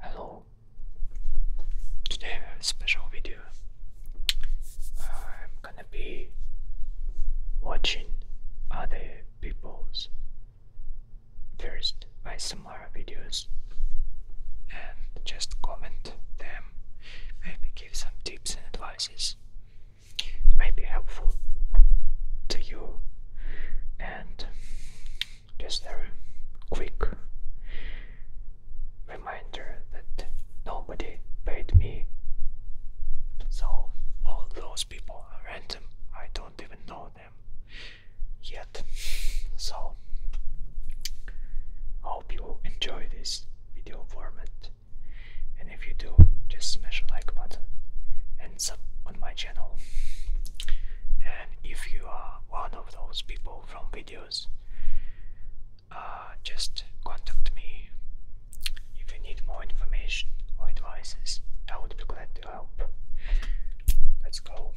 Hello. Today I have a special video. I'm gonna be watching other people's first similar videos and just comment them. Maybe give some tips and advices. It helpful to you and just a quick reminder that nobody paid me. So all those people are random. I don't even know them yet. So hope you enjoy this video format. And if you do, just smash a like button and sub on my channel. And if you are one of those people from videos, uh, just contact me if you need more information or advices. I would be glad to help. Let's go.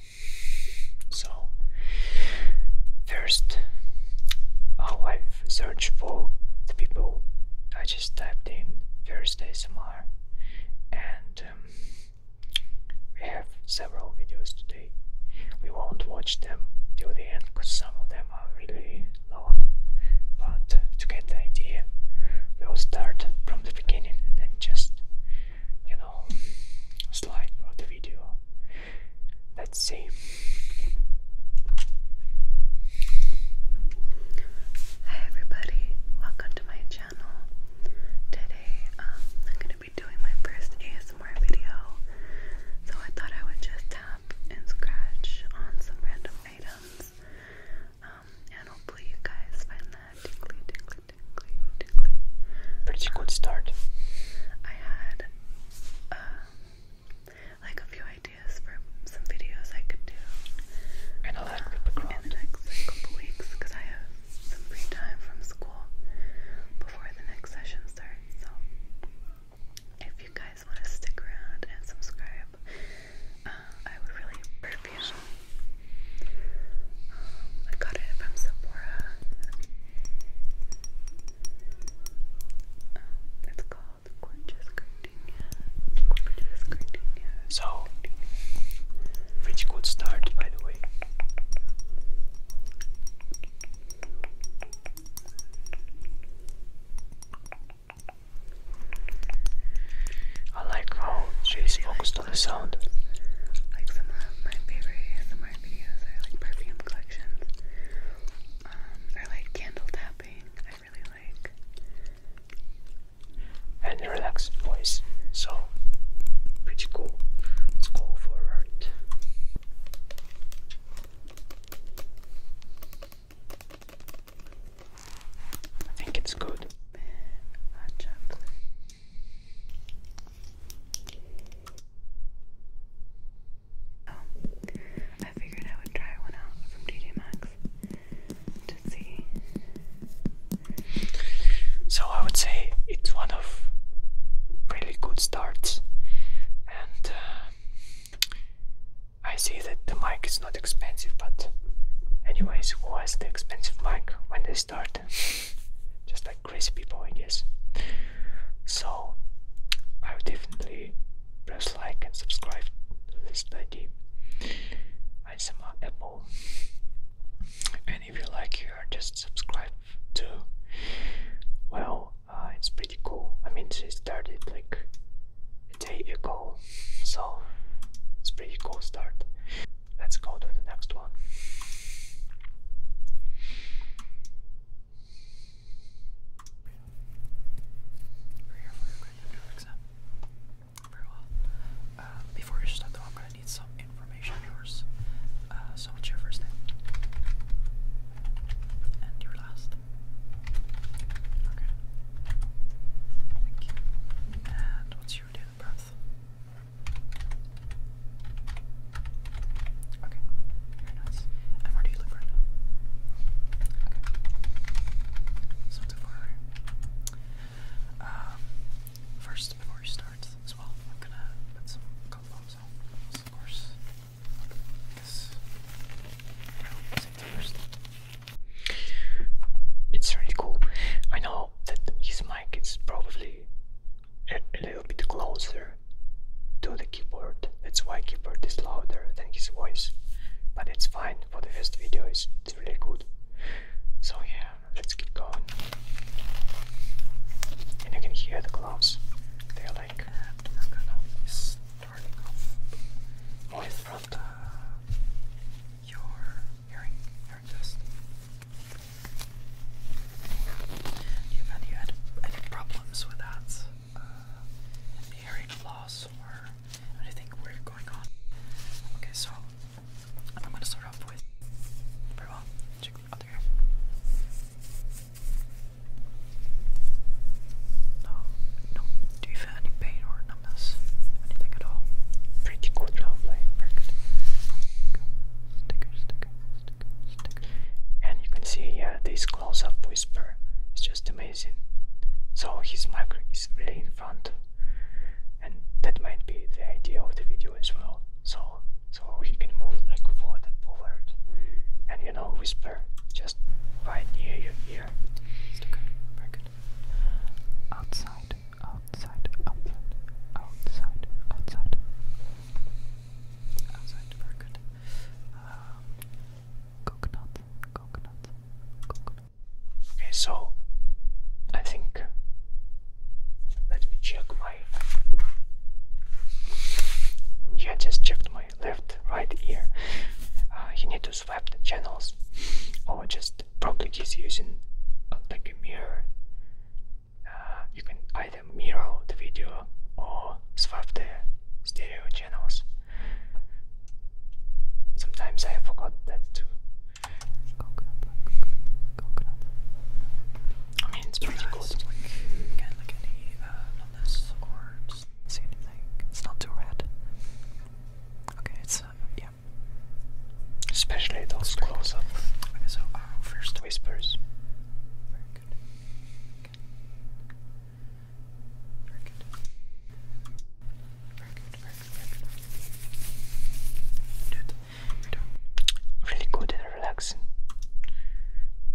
So, first, I've searched for the people. I just typed in Thursday SMR and um, we have several videos today. We won't watch them till the end because some of them are really long. But to get the idea, we'll start from the beginning and then just, you know, slide through the video. Let's see. Hi everybody, welcome to my channel. Today um, I'm going to be doing my first ASMR video, so I thought I would just tap and scratch on some random items. Um, and hopefully, you guys find that Pretty good start. I had uh, like a few ideas for some videos I could do. Um, in the next couple weeks because I have some free time from school before the next session starts. So, if you guys want to stick around and subscribe, uh, I would really appreciate it. Um, I got it from Sephora. Um, it's called Gorgeous Gardenia. Gorgeous Gardenia. So, pretty good start, by the way. I like how she's focused on the sound. Like some of my favorite ASMR videos are like perfume collections. Um, I like candle tapping. I really like and relaxed voice. So, pretty cool. Let's go forward. I think it's good. Hot chocolate. Oh, I figured I would try one out from TJ Maxx to see so I would say it's one of really good starts, and uh, I see that the mic is not expensive, but anyways, who has the expensive mic when they start? Just like crazy people, I guess. So I would definitely press like and subscribe to this lady. I am Apple and if you like here just subscribe to well uh, it's pretty cool i mean she started like a day ago so it's pretty cool start let's go to the next one uh, before we start though, I'm gonna need some information of yours. Uh, so what's your first name? And your last? Okay. Thank you. And what's your date of birth? Okay. Very nice. where do you live right now? Okay. It's far Um, first before he starts as well. I'm gonna put some combos on, of course. Because, first. It's really cool. I know that his mic is probably a, little bit closer to the keyboard. That's why keyboard is louder than his voice. But it's fine for the first video. It's, it's really good. So yeah, let's get going. And you can hear the gloves. They're like starting off more with front. Uh, your hearing hearing test. Do you have any any problems with that? Uh, hearing loss or anything weird going on? Okay, so I'm gonna start off with very well. Check the other No, no. Do you feel any pain or numbness? Anything at all? Pretty good, lovely. Very good. Sticker, sticker, sticker, sticker. And you can see, yeah, this close-up whisper It's just amazing. So his mic is really in front, and that might be the idea of the video as well so so he can move like forward and forward and you know whisper just right near your ear. Still good, very good. Outside, outside, outside, outside, outside. Outside, very good. Um, coconut, coconut, coconut. Okay, so I think let me check my. Yeah, just checked my left, right ear. Uh, you need to swap the channels, or just probably just using uh, like a mirror. Uh, you can either mirror the video or swap the stereo channels. Sometimes I forgot that too. Coconut coconut, I mean, it's pretty cool. It's like, again, like any uh, or see anything. It's not too red. Okay, it's, uh, yeah. Especially those close ups Okay, so uh, first whispers. Very good. Very good. Very good, very good, very Good really good and relaxing.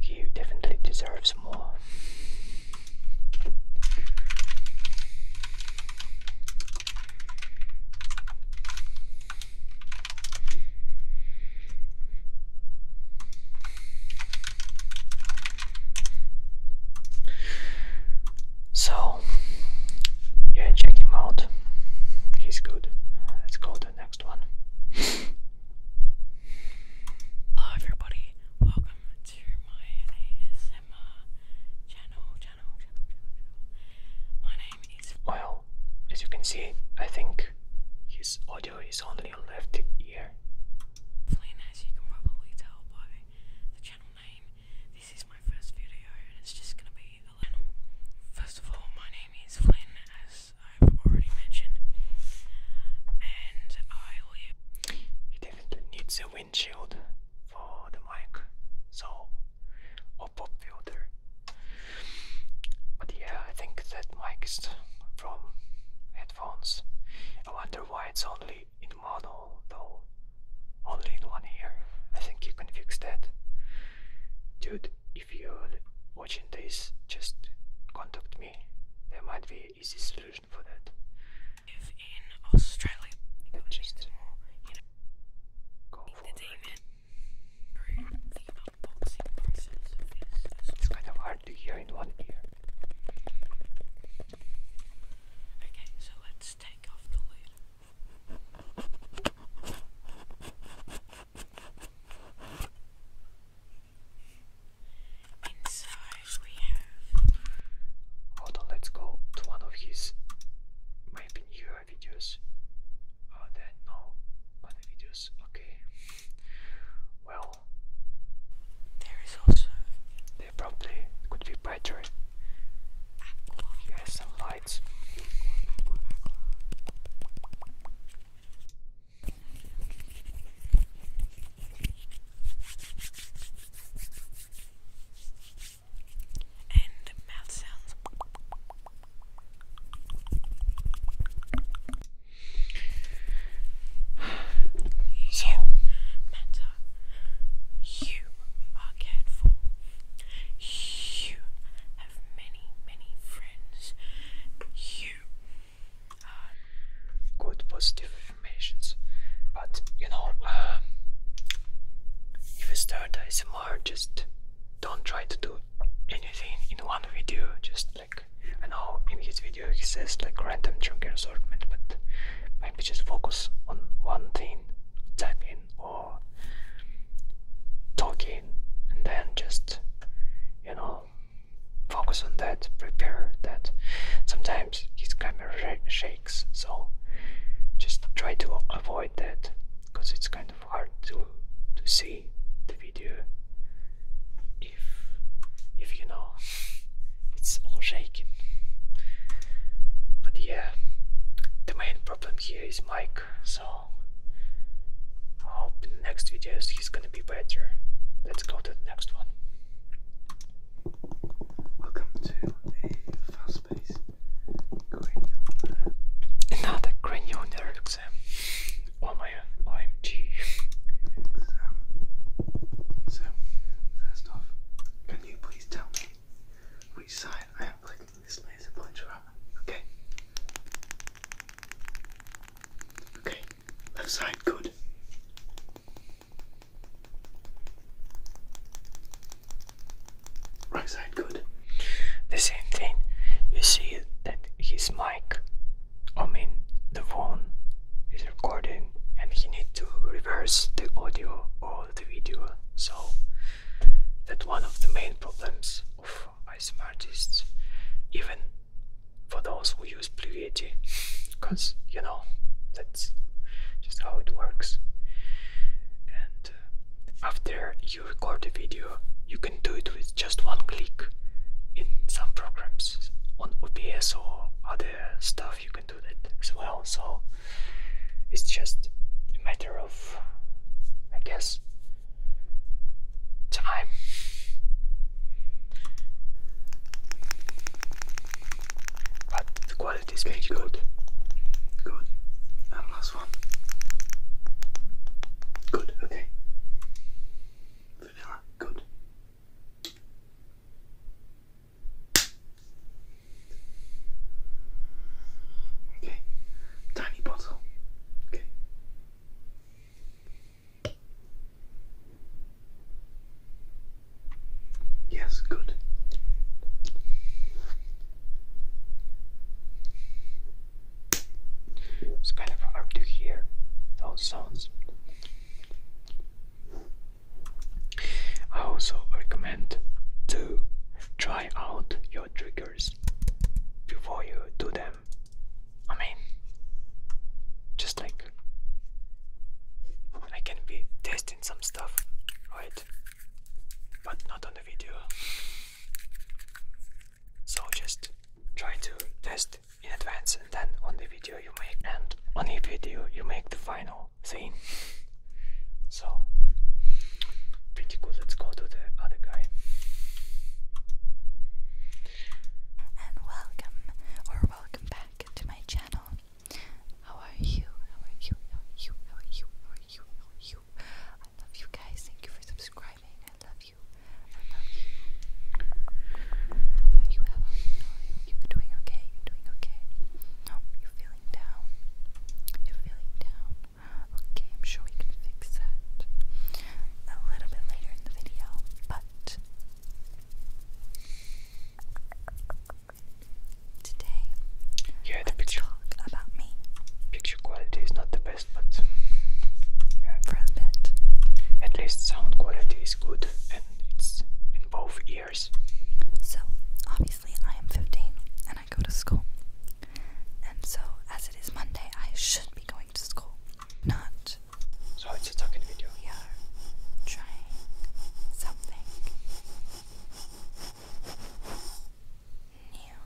He definitely deserves more. So, yeah, check him out. He's good. Let's go to the next one. Hello, everybody. Welcome to my ASMR channel. Channel, My name is. Well, as you can see, I think his audio is only on left ear. as you can probably tell by the channel name, this is my first video, and it's just gonna be First of all, my name is Flynn, as I've already mentioned, and I definitely needs a windshield for the mic, so or pop filter. But yeah, I think that mic is from headphones. I wonder why it's only in mono though. Only in one ear. I think you can fix that. Dude, if you're watching this, just contact me. There might be an easy solution for that. It's kind of hard to hear in one ear. Okay, so let's take off the lid. Hold on, let's go to one of his maybe newer videos. Oh, then no other videos. Okay. Well, there is also. There probably could be better. Aqua. He has some lights. And the mouth sounds. so, Manta, you are cared for. You have many, many friends. You are good, positive affirmations. But you know, um, if you start ASMR, just don't try to do anything in one video. Just like I know in his video he says like random chunky assortment, but maybe just focus on one thing, type in or talking and then just you know focus on that prepare that sometimes his camera sh shakes so just try to avoid that because it's kind of hard to to see the video if if you know it's all shaking but yeah the main problem here is mic so hope the next videos he's gonna be better. Let's go to the next one. Welcome to a fast paced Another cranial exam. Um, oh my OMG. Exam. So, first off, can you please tell me which side I am looking this laser points Okay. Okay. Left side, good. Right side, good. The same thing. You see that his mic, I mean the phone, is recording, and he needs to reverse the audio or the video. So that one of the main problems of ISM artists, even for those who use Pluviety, because you know that's just how it works. And uh, after you record a video, you can do it with just one click in some programs on OBS or other stuff. You can do that as well. So it's just a matter of I guess, time. the quality is pretty good. Good. And last one. Good, okay. Vanilla, good. Okay, tiny bottle. Okay. Yes, good. It's kind of hard to hear those sounds. I also recommend to try out your triggers before you do them. I mean, just like I can be testing some stuff, right? But not on the video. So just try to test in advance and then on the video you make and on the video you make the final thing so pretty cool. Let's go to the other guy. And welcome or welcome back to my channel. How are you? How are you? How are you? How are you? How are you? I love you guys. Thank you for subscribing. I love you. I love you. are you? How are you? How are are you doing okay. No, you feeling down. you feeling down. Okay, I'm sure we can fix that a little bit later in the video, but today yeah, the picture about me. Picture quality is not the best, but yeah. for a bit. At least sound quality is good, and it's in both ears. So obviously, I am 15, and I I go to school. And so, as it is Monday, I should be going to school. Not. So it's a talking video. We trying something new.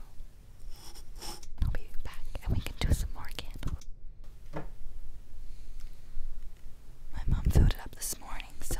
I'll be back and we can do some more candles. My mom filled it up this morning, so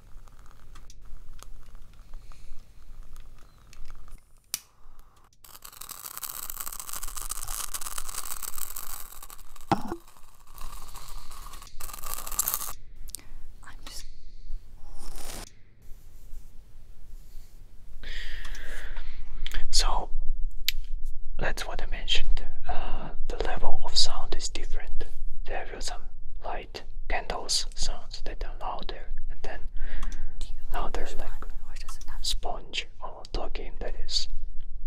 so that's what I mentioned. Uh, the level of sound is different. There are some like candles sounds that are louder and then louder like sponge or talking that is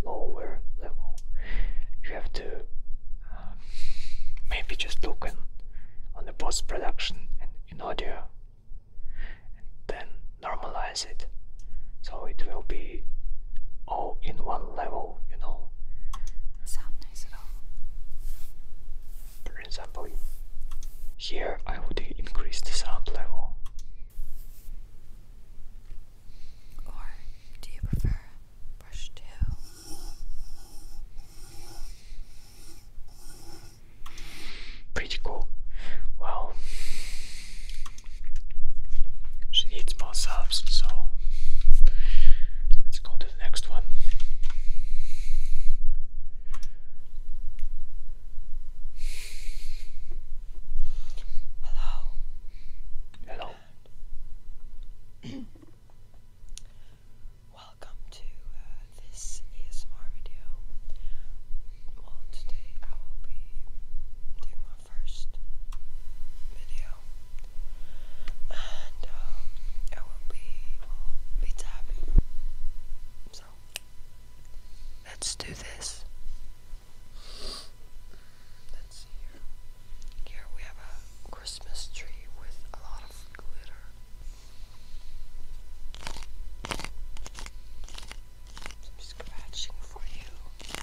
lower level. You have to um, maybe just look on, on the post production and in audio and then normalize it so it will be all in one level, you know sound nice at all. For example, here I would increase the sound level. Or do you prefer brush two? Pretty cool. Well, she needs more subs, so let's go to to the next one. Hello. Hello. Welcome to uh, this ASMR video. Well, today I will be doing my first video and um, will be be tapping. So let's do this. Let's see here. Here we have a Christmas tree with a lot of glitter. Some scratching for you.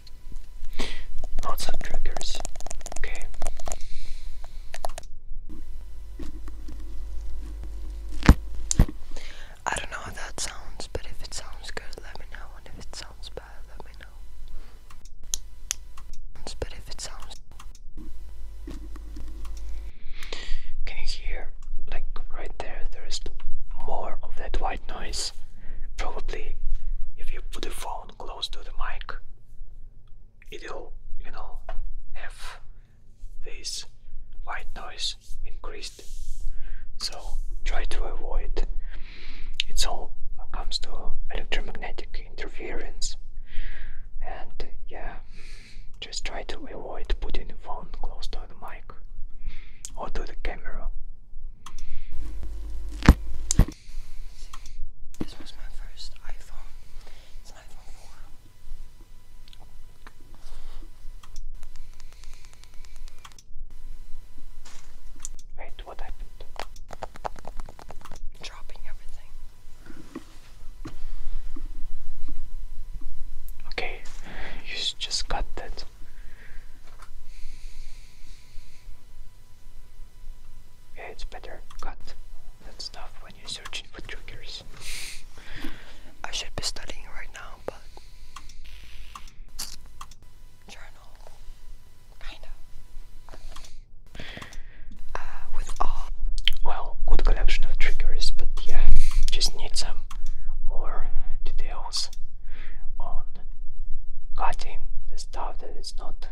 Lots of triggers. Okay. I don't know how that sounds, but if it sounds good, let me know. And if it sounds bad, let me know. But if it sounds. Can you hear? Like right there, there's more of that white noise. Probably if you put the phone close to the mic, it'll, you know, have this white noise increased. So try to avoid it's all comes to electromagnetic interference. And yeah, just try to avoid putting the phone close to the mic or to the camera. This was my first iPhone. It's an iPhone 4. Wait, what happened? Dropping everything. Okay, you just got that. Yeah, it's better cut that stuff when you're searching for triggers. I should be studying right now, but journal, kinda. Uh, with all well, good collection of triggers, but yeah, just need some more details on cutting the stuff that is not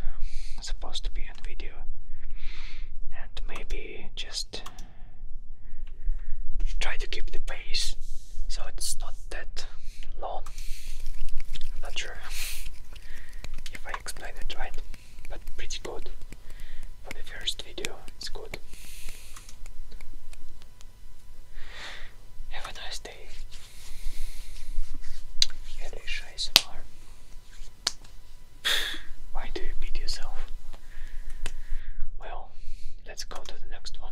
supposed to be in video and maybe just try to keep the pace so it's not that long I'm not sure if I explained it right but pretty good for the first video it's good have a nice day why do you beat yourself? Well, let's go to the next one.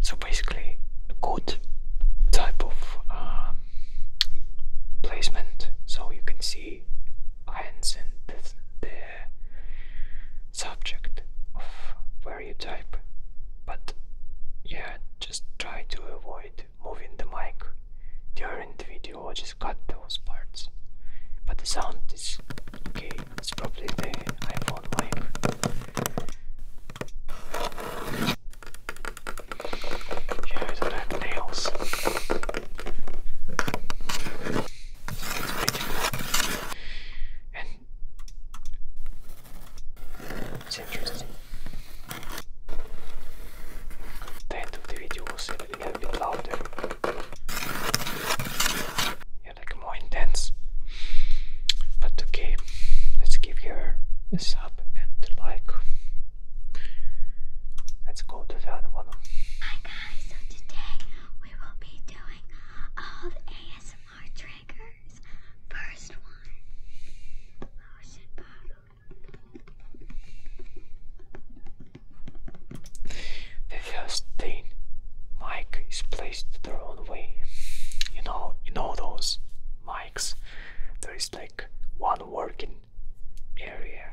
So basically, good type of um, placement, so you can see hands and this, the subject of where you type. But yeah, just try to avoid moving the mic during the video. I just cut those parts. But the sound is okay, it's probably the iPhone mic. Yeah, I nails. It's interesting. At the the video, we'll you like more intense. But okay, let's give her a sub and like. Let's go to the other one. Hi guys, so today we will be doing all the ASMR triggers. First one, lotion oh, bottle the first thing, mic is placed the wrong way. You know, in all those mics, there is like one working area.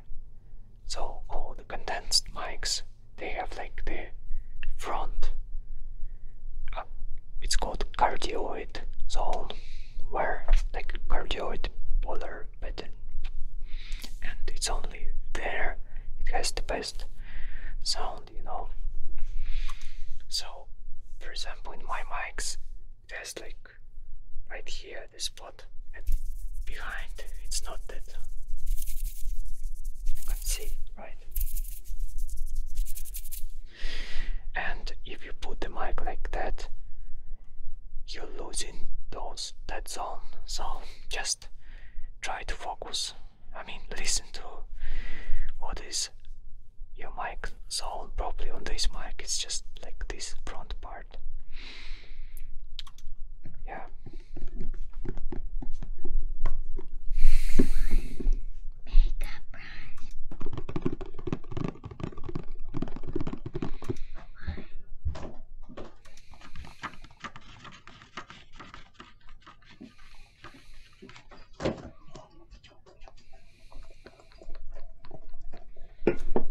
So all the condensed mics, they have like the front. Uh, it's called cardioid zone, where like cardioid polar pattern and it's only there it has the best sound you know so for example in my mics it like right here the spot and behind it's not that uh, you can see right and if you put the mic like that you're losing those dead zone. So just try to focus. I mean, listen to what is your mic zone. Probably on this mic, it's just like this front part. Yeah.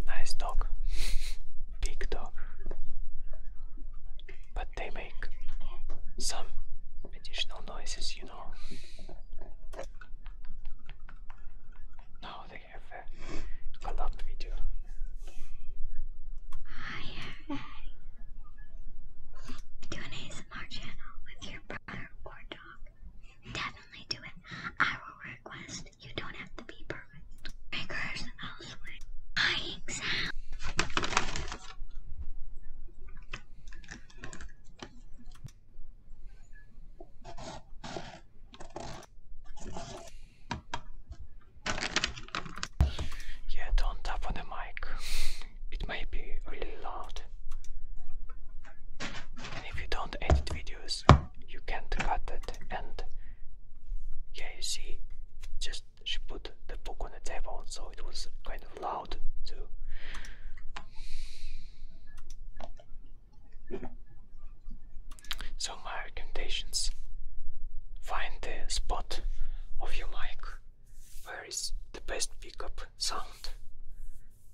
Nice dog, big dog. But they make some additional noises, you know. Now they I have a collab video. I have a, do an ASMR channel with your brother or dog. Definitely do it. I will request. You don't have to be perfect. Triggers elsewhere. Crying sound. Yeah, don't tap on the mic. It may be really loud. And if you don't edit videos, you can't cut it. And yeah, you see, just she put the book on the table, so it was kind of loud too. So my recommendations find the spot of your mic where is the best pickup sound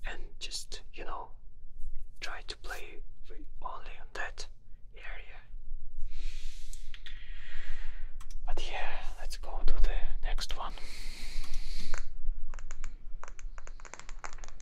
and just you know try to play only on that area. But yeah, let's go to the next one.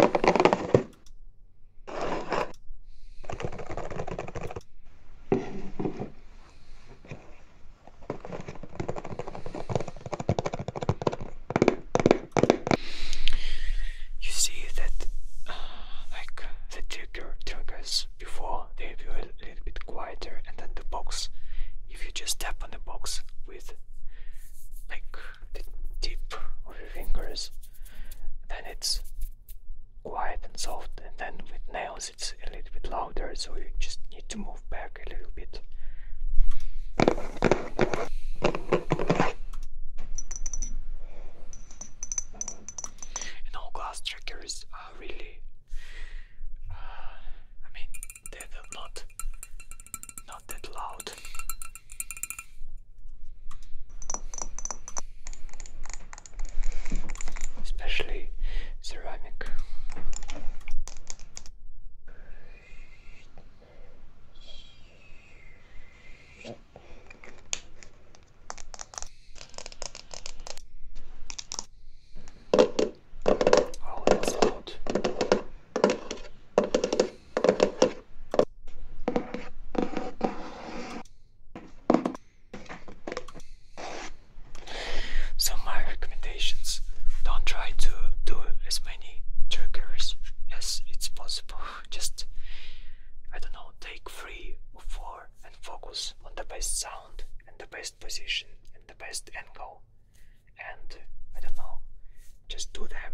You see that, uh, like the trigger triggers before, they were a little bit quieter, and then the box. If you just tap on the box with, like the tip of your fingers, then it's quiet and soft, and then with nails it's a little bit louder, so you just need to move back a little bit. And all glass trackers are really, uh, I mean, they're not not that loud. Especially ceramic. Oh, that's loud. So my recommendations, don't try to do as many triggers as it's possible. Just I don't know, take three or four and focus on the best sound and the best position and the best angle and I don't know, just do them.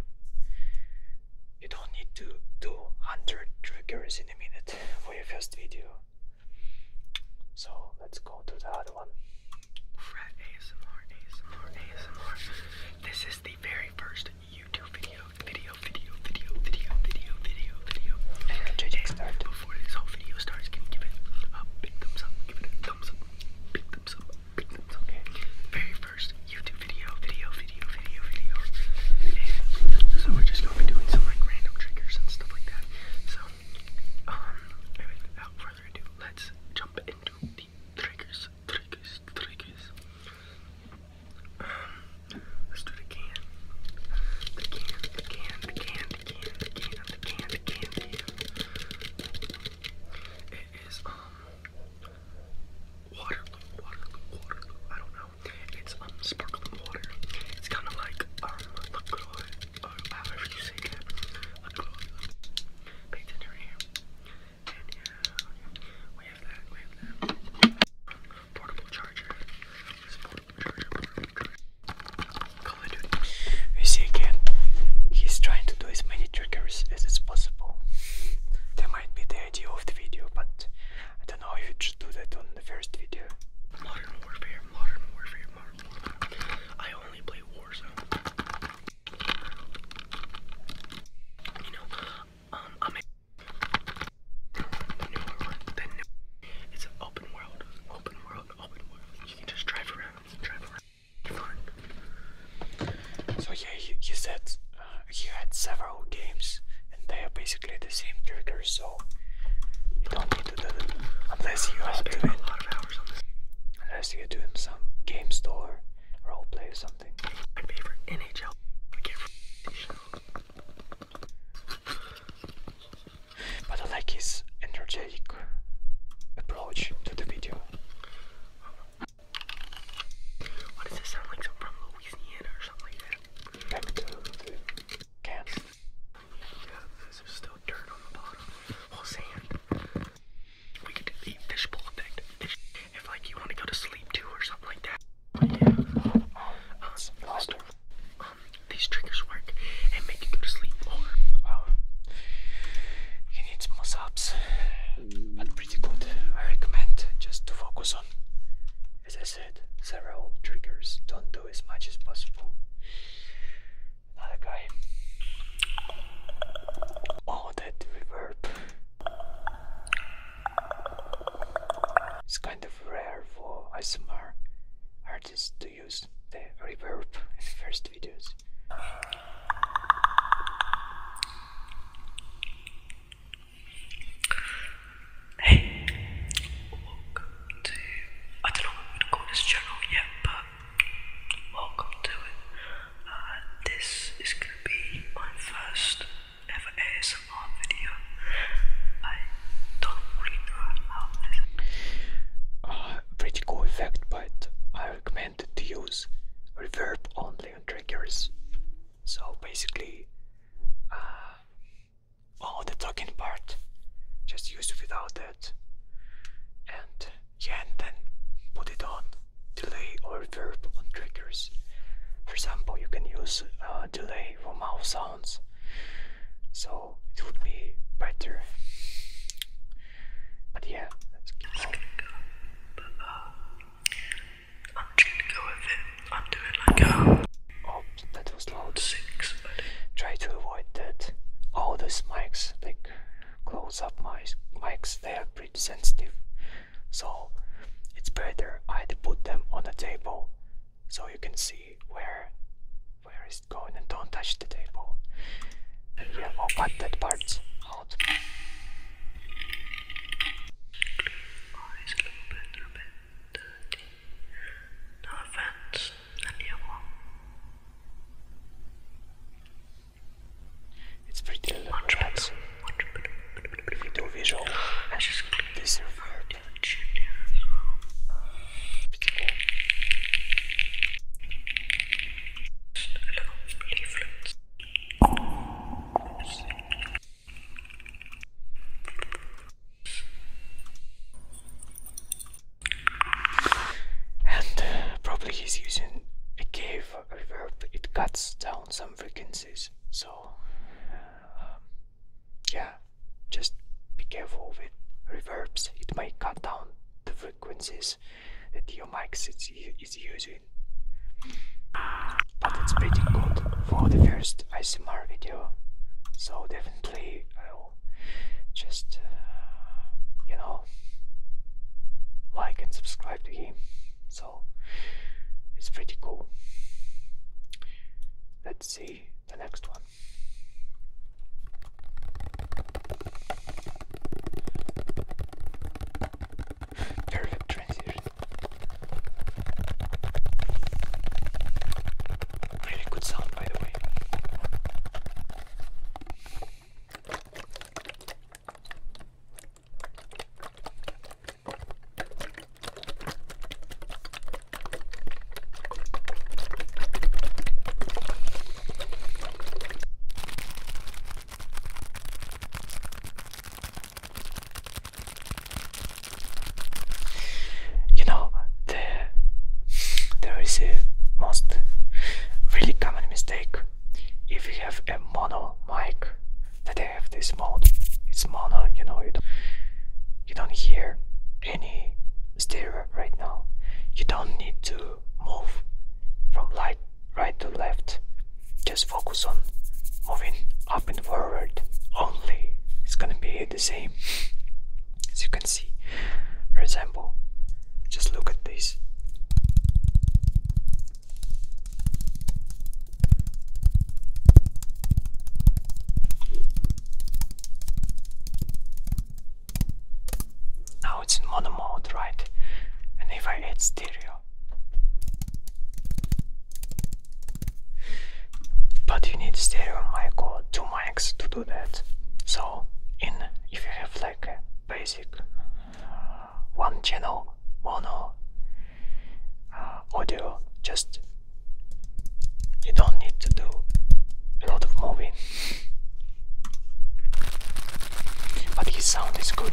You don't need to do 100 triggers in a minute for your first video. So let's go to the other one. ASMR, ASMR, ASMR. This is the very first YouTube video, video, video, video, video, video, video, video. And JJ start. Before this whole video starts, give it a big thumbs up? Give it a thumbs up, big thumbs up. Very first YouTube video, video, video, video, video. so we're just gonna be doing some like random triggers and stuff like that. So, um, without further ado, let's jump into the triggers, triggers, triggers. Um, let's do the can. The can, the can, the can, the It is, um, Waterloo, water, Waterloo. I don't know. It's um sparkling water. It's kind of like um LaCroix, or oh, however you say that. LaCroix. Pay attention right here. And yeah, we have that. We have that. Portable charger. portable charger. Portable charger. Call it. You see again. He's trying to do as many triggers as it's possible. that might be the idea of the video, but I don't know if you should do that on the first video. Modern Warfare, Modern Warfare, Modern Warfare. I only play Warzone. You know, um, I'm a the new world, the new it's an open world, open world, open world. You can just drive around, drive around, fun. So yeah, he, said uh, he had several games and they are basically the same trigger, so you don't need to do that unless you are doing some game store roleplay or something. My favorite NHL. but I like his energetic approach to the video. What does this sound like? Something from Louisiana or something like that? Peptone. Yeah, there's still dirt on the bottom. Well, sand. We could do the fishbowl effect. If like you want to go to sleep too or something like that. Yeah. Um, um, these triggers work and make you go to sleep more. Wow. Um, you need some ups but pretty good. I recommend just to focus on, as I said, several triggers. Don't do as much as possible. Another guy. All oh, that reverb. It's kind of rare for ASMR artists to use the reverb in first videos. Hey, welcome to. I don't know what I'm this channel yet, but welcome to it. Uh, this is going to be my first ASMR video. I don't really know how uh, pretty cool effect, but I recommend to use reverb only triggers. So basically, uh, the talking part, just use without that. And yeah, and then put it on delay or reverb on triggers. For example, you can use uh, delay for mouth sounds, so it would be better. But yeah, let's keep going. I'm trying to go with it. I'm doing like a. Oh, that was loud. Try to avoid that. All those mics, like close up mics, they are pretty sensitive. So it's better I'd put them on the table so you can see where where is it going and don't touch the table. Yeah, I'll oh, cut that part out. Eyes a little bit, a bit dirty. No offense, and you one. It's pretty much better. Much better. Do visual. I just this your third chin here as well. Pretty cool. Just a little leaflet. And uh, probably he's using a cave reverb, it cuts down some frequencies. So, um, yeah, just be careful with reverbs, it may cut down the frequencies that your mic is using. But it's pretty good for the first mar video, so definitely I'll just, uh, you know, like and subscribe to him. So it's pretty cool. Let's see the next one. Perfect transition. Really good sound, by the way. You know, the, there is a most really common mistake if you have a mono mic that I have this mode. It's mono, you know, you don't, you don't hear any stereo right now. You don't need to move from light right to left. Just focus on moving up and forward only. It's gonna be the same as you can see. For example, just look at this. Now it's in mono mode, right? And if I add stereo, but you need stereo mic or two mics to do that. So, in if you have like a basic uh, one channel mono uh, audio, just you don't need to do a lot of moving. But his sound is good.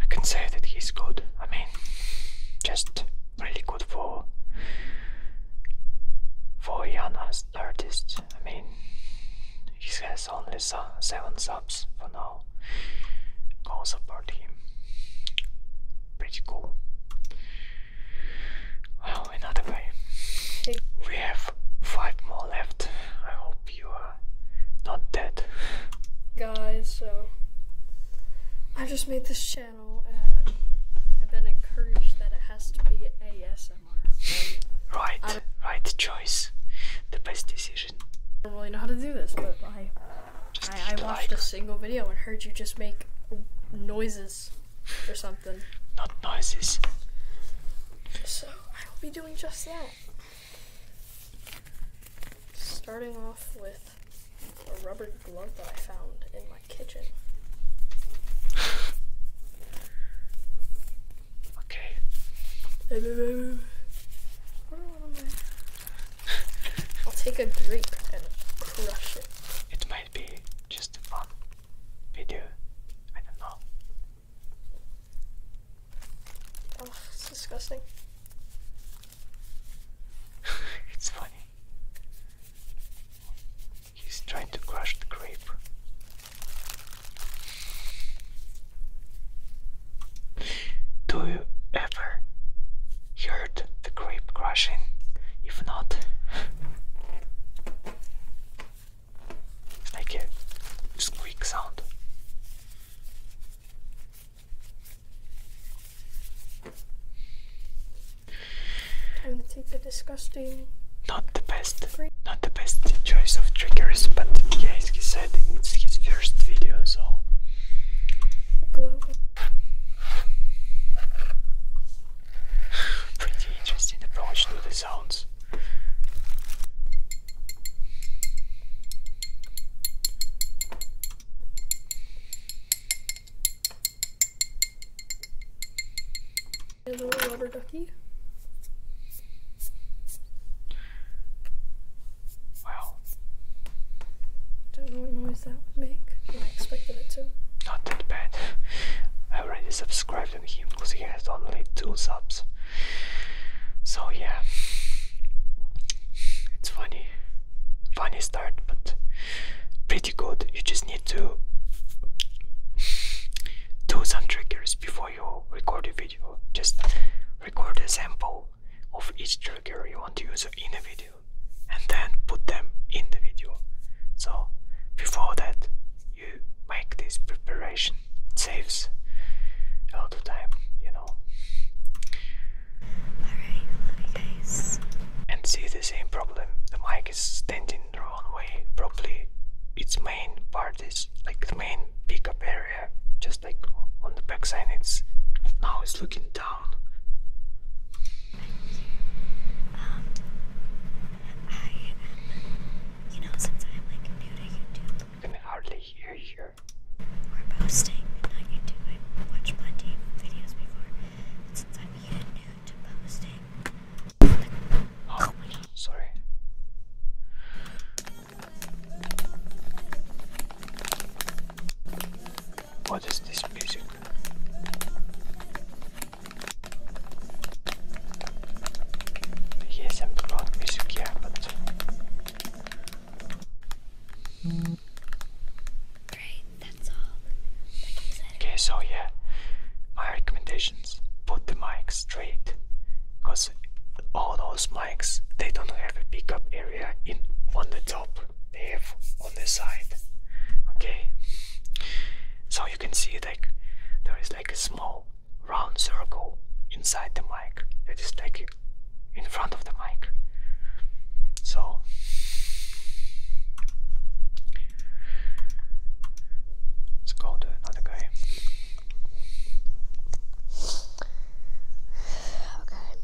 I can say that he's good. I mean, just really good for for young artists. I mean, he has only seven subs for now. Go support him. Pretty cool. Well, oh, another way. We have five more left. I hope you are not dead. Guys, so I just made this channel and I've been encouraged that it has to be ASMR. right, right choice. The best decision. don't really know how to do this, but I, I, watched a single video and heard you just make noises or something. Not noises. So I will be doing just that. Starting off with a rubber glove that I found in my kitchen. okay. I'll take a grape and crush it. It may might just a fun video. I don't know. Oh, it's disgusting. it's funny. He's trying to crush the grape. Do you ever heard the grape crashing? If not, Make it squeak sound. Time to take the disgusting. Not the best, not the best choice of triggers, but yeah, as he said, it's his first video, so. Pretty interesting approach to the sounds. A little rubber ducky. Wow. Don't know what noise that would make. I expected it to. Not that bad. I already subscribed subscribed him because he has only two subs. So yeah, it's funny, funny start, but pretty good. You just need to do some triggers before you record a video. Just record a sample of each trigger you want to use in the video, and then put them in the video. So before that you make this preparation. It saves a lot of time, you know. Alright, guys. And see the same problem. The mic is standing the wrong way properly. Its main part is like the main pickup area, just like on the backside, it's now it's looking down. I you know, since I'm like new to YouTube. I can hardly hear you. We're posting, not YouTube. I've watched plenty videos before, since I'm new to posting, like, oh, oh sorry. What is this music? Okay, so yeah, my recommendations: put the mics straight, cause all those mics they don't have a pickup area in on the top; they have on the side. Okay, so you can see like there is like a small round circle inside the mic that is like in front of the mic. So let's go to another guy. Okay,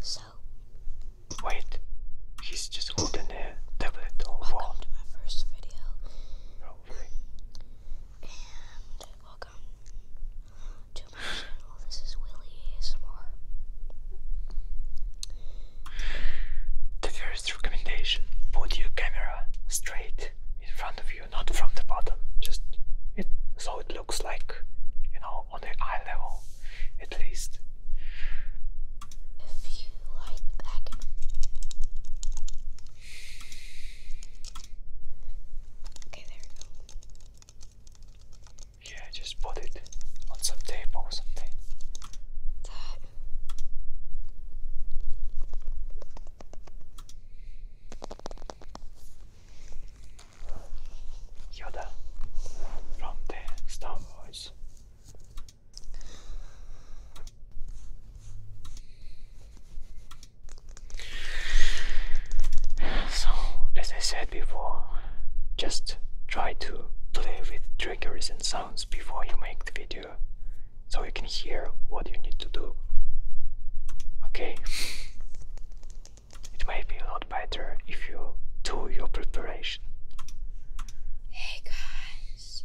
so wait, he She's just holding the welcome to my first video. Oh, and welcome to my channel. This is Willie ASMR. The first recommendation: put your camera straight in front of you, not from the bottom. Just so it looks like you know on the eye level, at least. If you Yeah, just put it on some tape or something. That. from the Star Wars. So, as I said before, just try to play with triggers and sounds before you make the video so you can hear what you need to do. Okay? It may be a lot better if you do your preparation. Hey guys,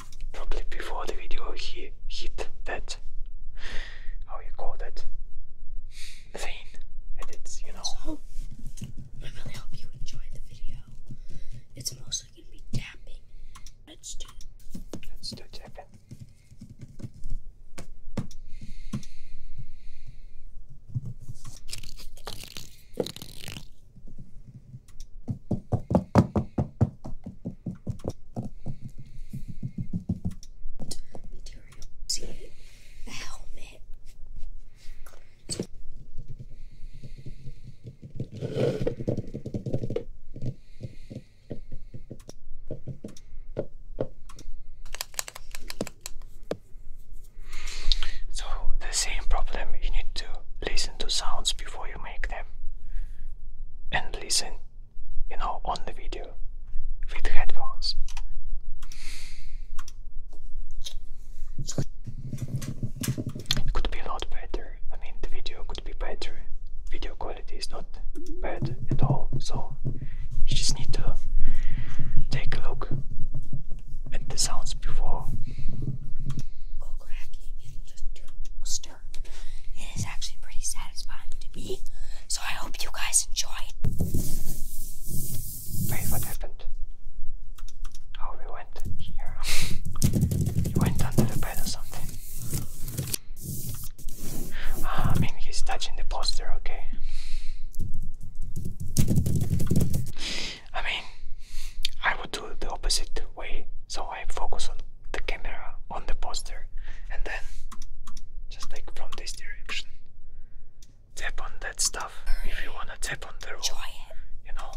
probably before the video he hit that how you call that thing edits, you know. So I really hope you enjoyed the video. It's mostly gonna be tapping. Let's do let's do tapping material. See it? helmet. So the same problem you need to listen to sounds before you make them and listen, you know, on the video with headphones. It could be a lot better. I mean, the video could be better. Video quality is not bad at all, so you just need to take a look at the sounds before cracking and just stir. It is actually pretty satisfying to me, so I hope you guys enjoy Wait, what happened? Oh, we went here. you went under the bed or something. Ah, I he's touching the poster, okay. I mean, I would do the opposite way, so I focus on the camera on the poster and then just like from this direction tap on that stuff if you wanna tap on the wall, you know.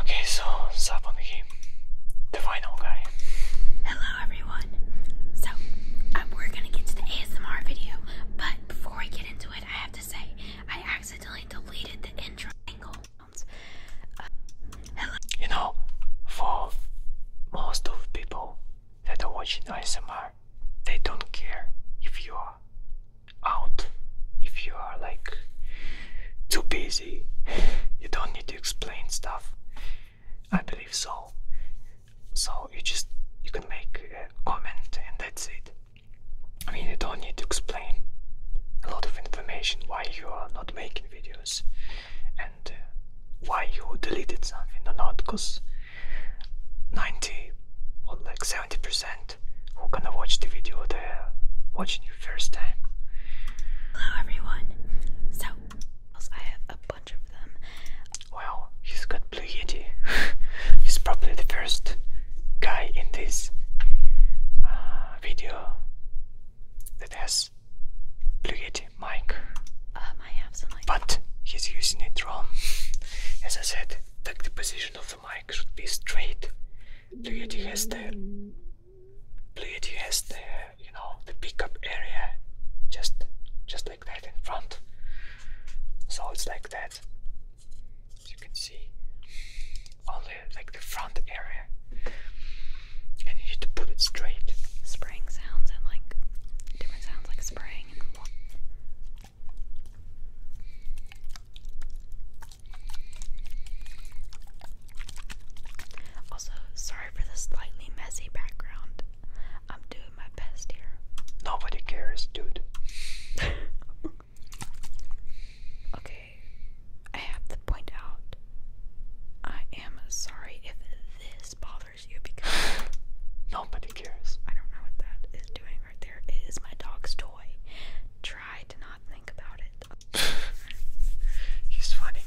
Okay, so sub on the game. the final guy. Hello everyone. So um, we're gonna get to the ASMR video, but before we get into it, I have to say I uh, you know, for most of people that are watching ASMR, they don't care if you are out, if you are like too busy. You don't need to explain stuff. I believe so. So you just you can make a comment and that's it. I mean, you don't need to explain a lot of information why you are not making videos and uh, why you deleted something or not, because 90 or like 70% who gonna watch the video, they're watching you first time. Hello everyone. So, I have a bunch of them. Well, he's got Blue Yeti. he's probably the first guy in this uh, video that has blue yeti mic um, but he's using it wrong as I said like the position of the mic should be straight blue yeti has the blue yeti has the you know the pickup area just just like that in front so it's like that as you can see, only like the front area, and you need to put it straight. Spraying sounds and like different sounds, like spraying Also, sorry for the slightly messy background. I'm doing my best here. Nobody cares, dude. Okay, I have to point out I am sorry if this bothers you because nobody cares. I don't know what that is doing right there. It is my dog's toy. Try to not think about it. He's funny.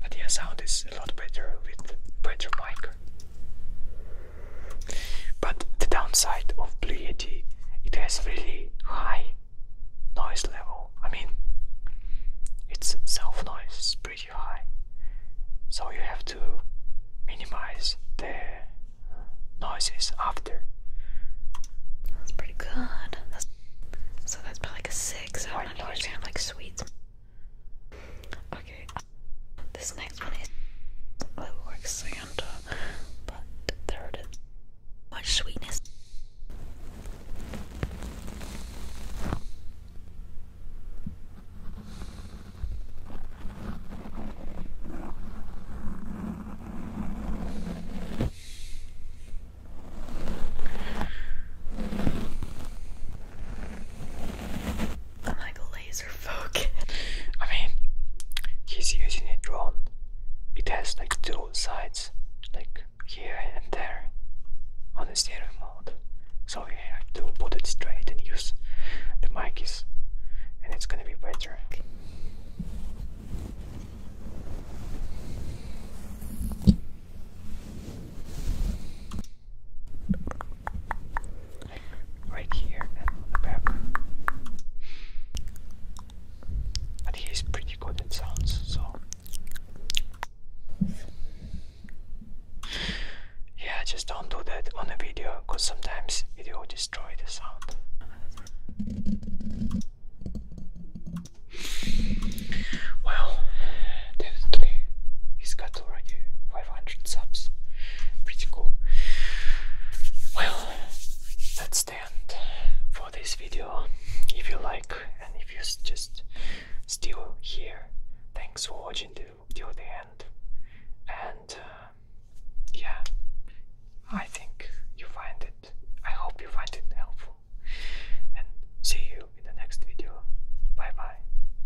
But the sound is a lot better with better mic. But the downside of Blue Yeti, it has really high noise level. I mean, its self noise is pretty high, so you have to minimize the noises after. That's pretty good. That's, so that's probably like a six. I'm not a fan of like sweets. Okay, this next one is a like Santa, but there it is. Much sweetness. I'm like laser focused. I mean, he's using a drone. It has like two sides, like here and there, on the stereo mode. So we have to put it straight and use the mic is, and it's gonna be better right here and the back. But he's pretty good at sounds, so yeah, just don't do that on a video, cause sometimes video will destroy the sound. Well, definitely he's got that's already 500 subs. Pretty cool. Well, that's the end for this video. If you like and if you just still here, thanks for watching till the end. And uh, yeah, I think you find it. I hope you find it helpful. And see you in the next video. Bye bye.